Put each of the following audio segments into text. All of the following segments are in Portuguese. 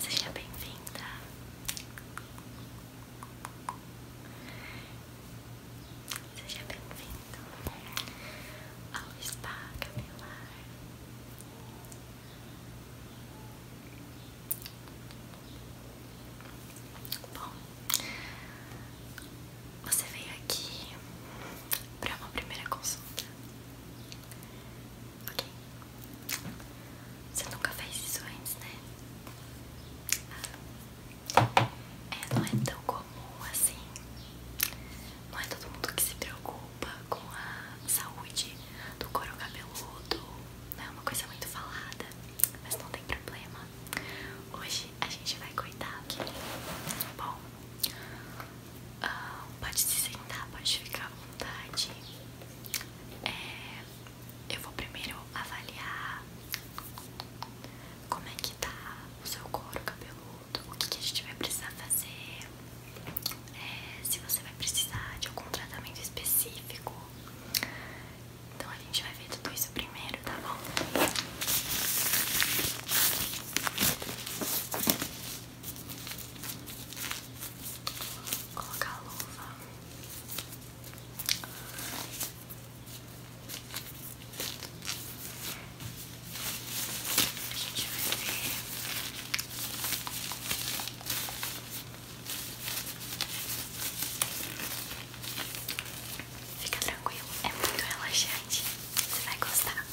Seja bem-vinda. Seja bem vinda ao Spa Capilar. Bom, você veio aqui para uma primeira consulta. Ok. Você nunca fez isso antes, né? Ah. É, não é tão comum assim. Não é todo mundo que se preocupa com a saúde do couro cabeludo. Não é uma coisa muito falada, mas não tem problema. Hoje a gente vai cuidar, ok? Bom, ah, pode se sentar, pode ficar à vontade. É, eu vou primeiro avaliar como é que tá o seu couro cabeludo, o que, a gente vai precisar fazer, é, se você vai precisar de algum tratamento específico. Então a gente vai ver tudo isso primeiro, tá bom? Vou colocar luva. gente Fica tranquilo, é muito relaxante. Você vai gostar.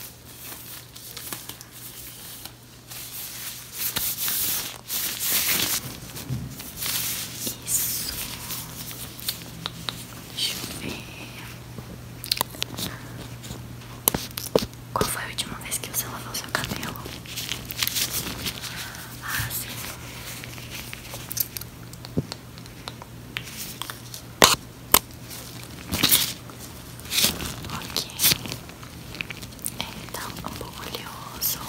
Isso. Deixa eu ver. Qual foi a última vez que você lavou seu cabelo? Ah, sim. Ok então um pouco oleoso,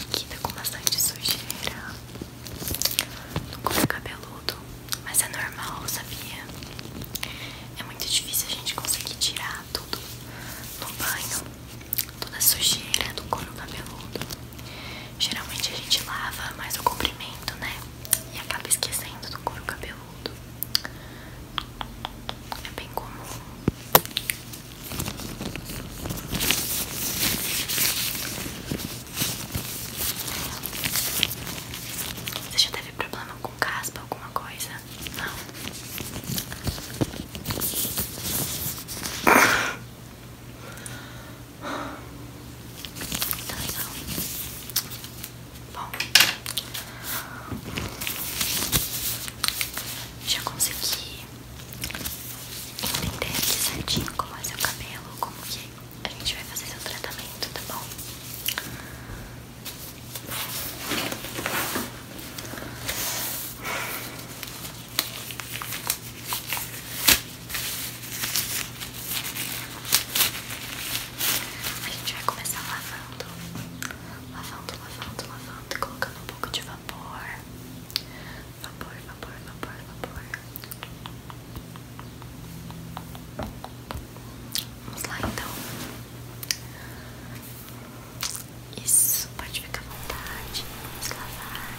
Aqui tá com bastante sujeira no couro cabeludo mas é normal, sabia? É muito difícil a gente conseguir tirar tudo no banho, toda a sujeira do couro cabeludo. Geralmente a gente lava mais o comprimento, né? E acaba esquecendo do couro cabeludo. É bem comum. Você já teve problema com caspa, alguma coisa? Não. Tá legal. Bom. Já consegui entender certinho como é seu cabelo, como que a gente vai fazer seu tratamento, tá bom? A gente vai começar lavando, lavando, lavando, lavando, colocando um pouco de vapor, vapor, vapor, vapor, vapor. Vamos lá então. Isso, pode ficar à vontade. Vamos lavar.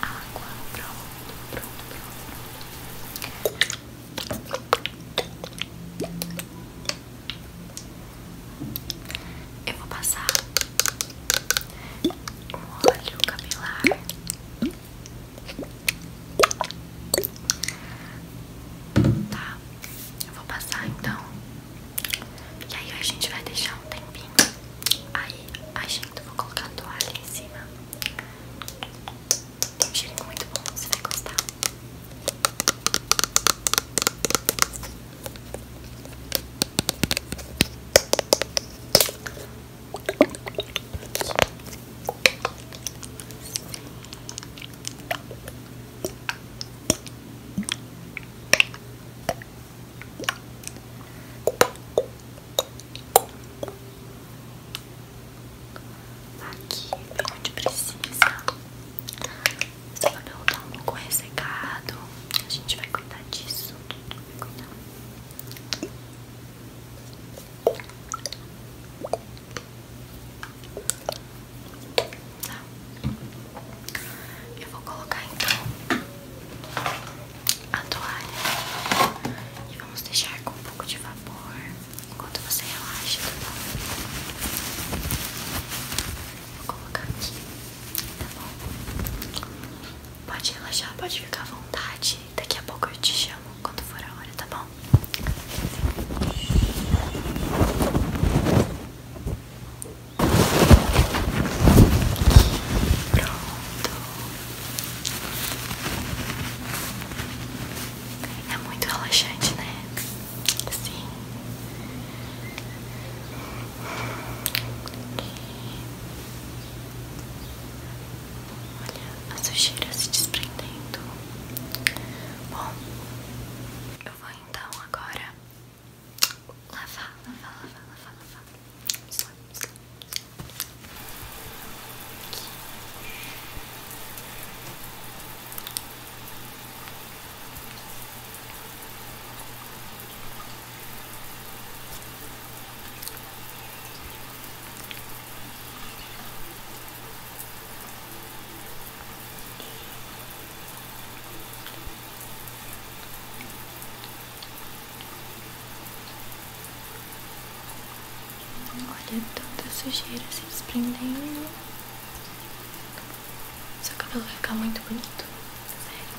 Água, pronto, pronto, pronto. Eu vou passar óleo capilar Tá, eu vou passar então. E aí a gente vai deixar um tempinho. Aí a gente vou colocar a toalha em cima. Tem um cheirinho muito bom, você vai gostar. Aqui bem onde precisa. Só vai botar um pouco ressecado. A gente vai cuidar disso. Vai cuidar. Tá. Eu vou colocar então a toalha e vamos deixar com um pouco de vapor enquanto você relaxa. Tá bom? Vou colocar aqui, tá bom? Pode relaxar, pode ficar à vontade. Daqui a pouco eu te chamo quando for a hora, tá bom? Pronto. É muito relaxante, né? Sim. Olha a sujeira se desprendendo. Bom, eu vou então agora lavar, lavar, lavar, lavar, lavar. Vamos Olha toda sujeira se desprendendo. Seu cabelo vai ficar muito bonito. Sério.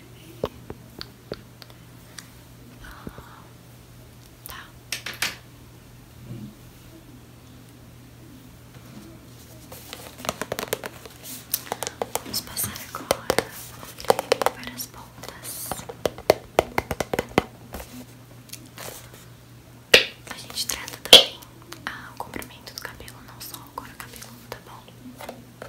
Vamos passar agora o para as pontas. A gente trata também ah, o comprimento do cabelo, não só o cor cabelo, tá bom?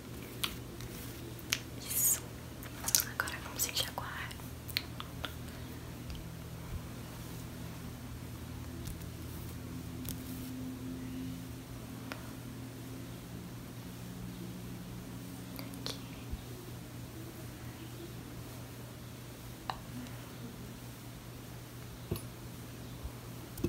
Isso. Agora vamos enxaguar. Aqui.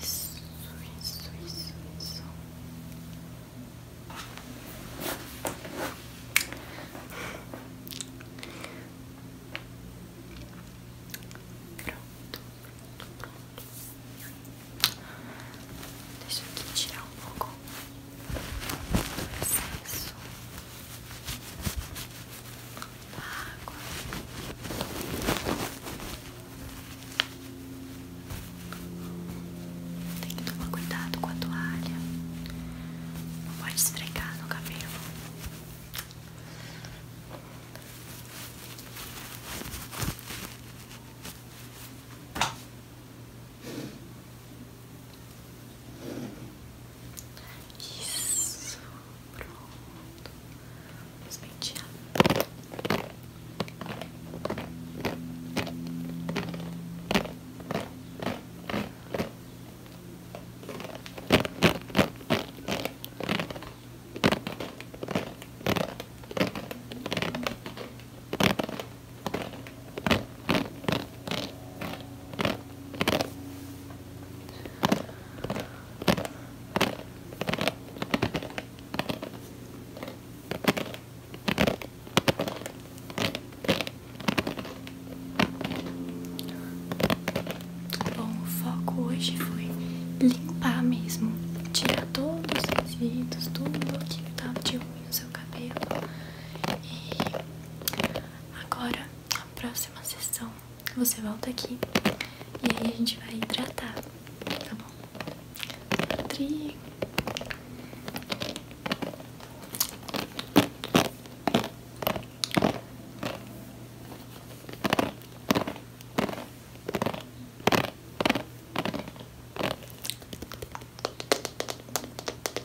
Isso, isso, isso, isso. Pronto, pronto, pronto. Deixa eu tirar um pouco água. Tem que tomar cuidado com a toalha. Não pode esfregar no cabelo. Isso, pronto. Vamos pentear. Bom, foco hoje foi limpar mesmo, tirar todos os resíduos, tudo o que tava de ruim no seu cabelo. E agora a próxima sessão você volta aqui e aí a gente vai hidratar, tá bom?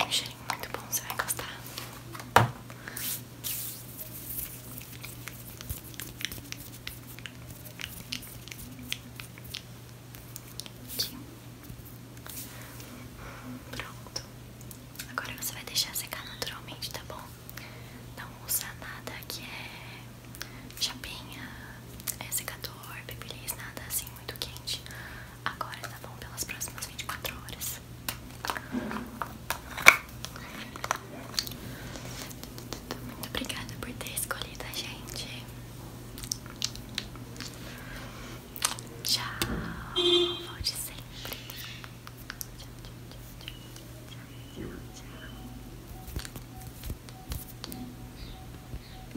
Um cheirinho muito bom, você vai gostar. Pronto. Agora você vai deixar secar naturalmente, tá bom? Não usa nada que é chapinha, é secador, babyliss, nada assim muito quente. Agora tá bom pelas próximas 24 horas. Muito obrigada por ter escolhido a gente. Tchau. Volte sempre. tchau.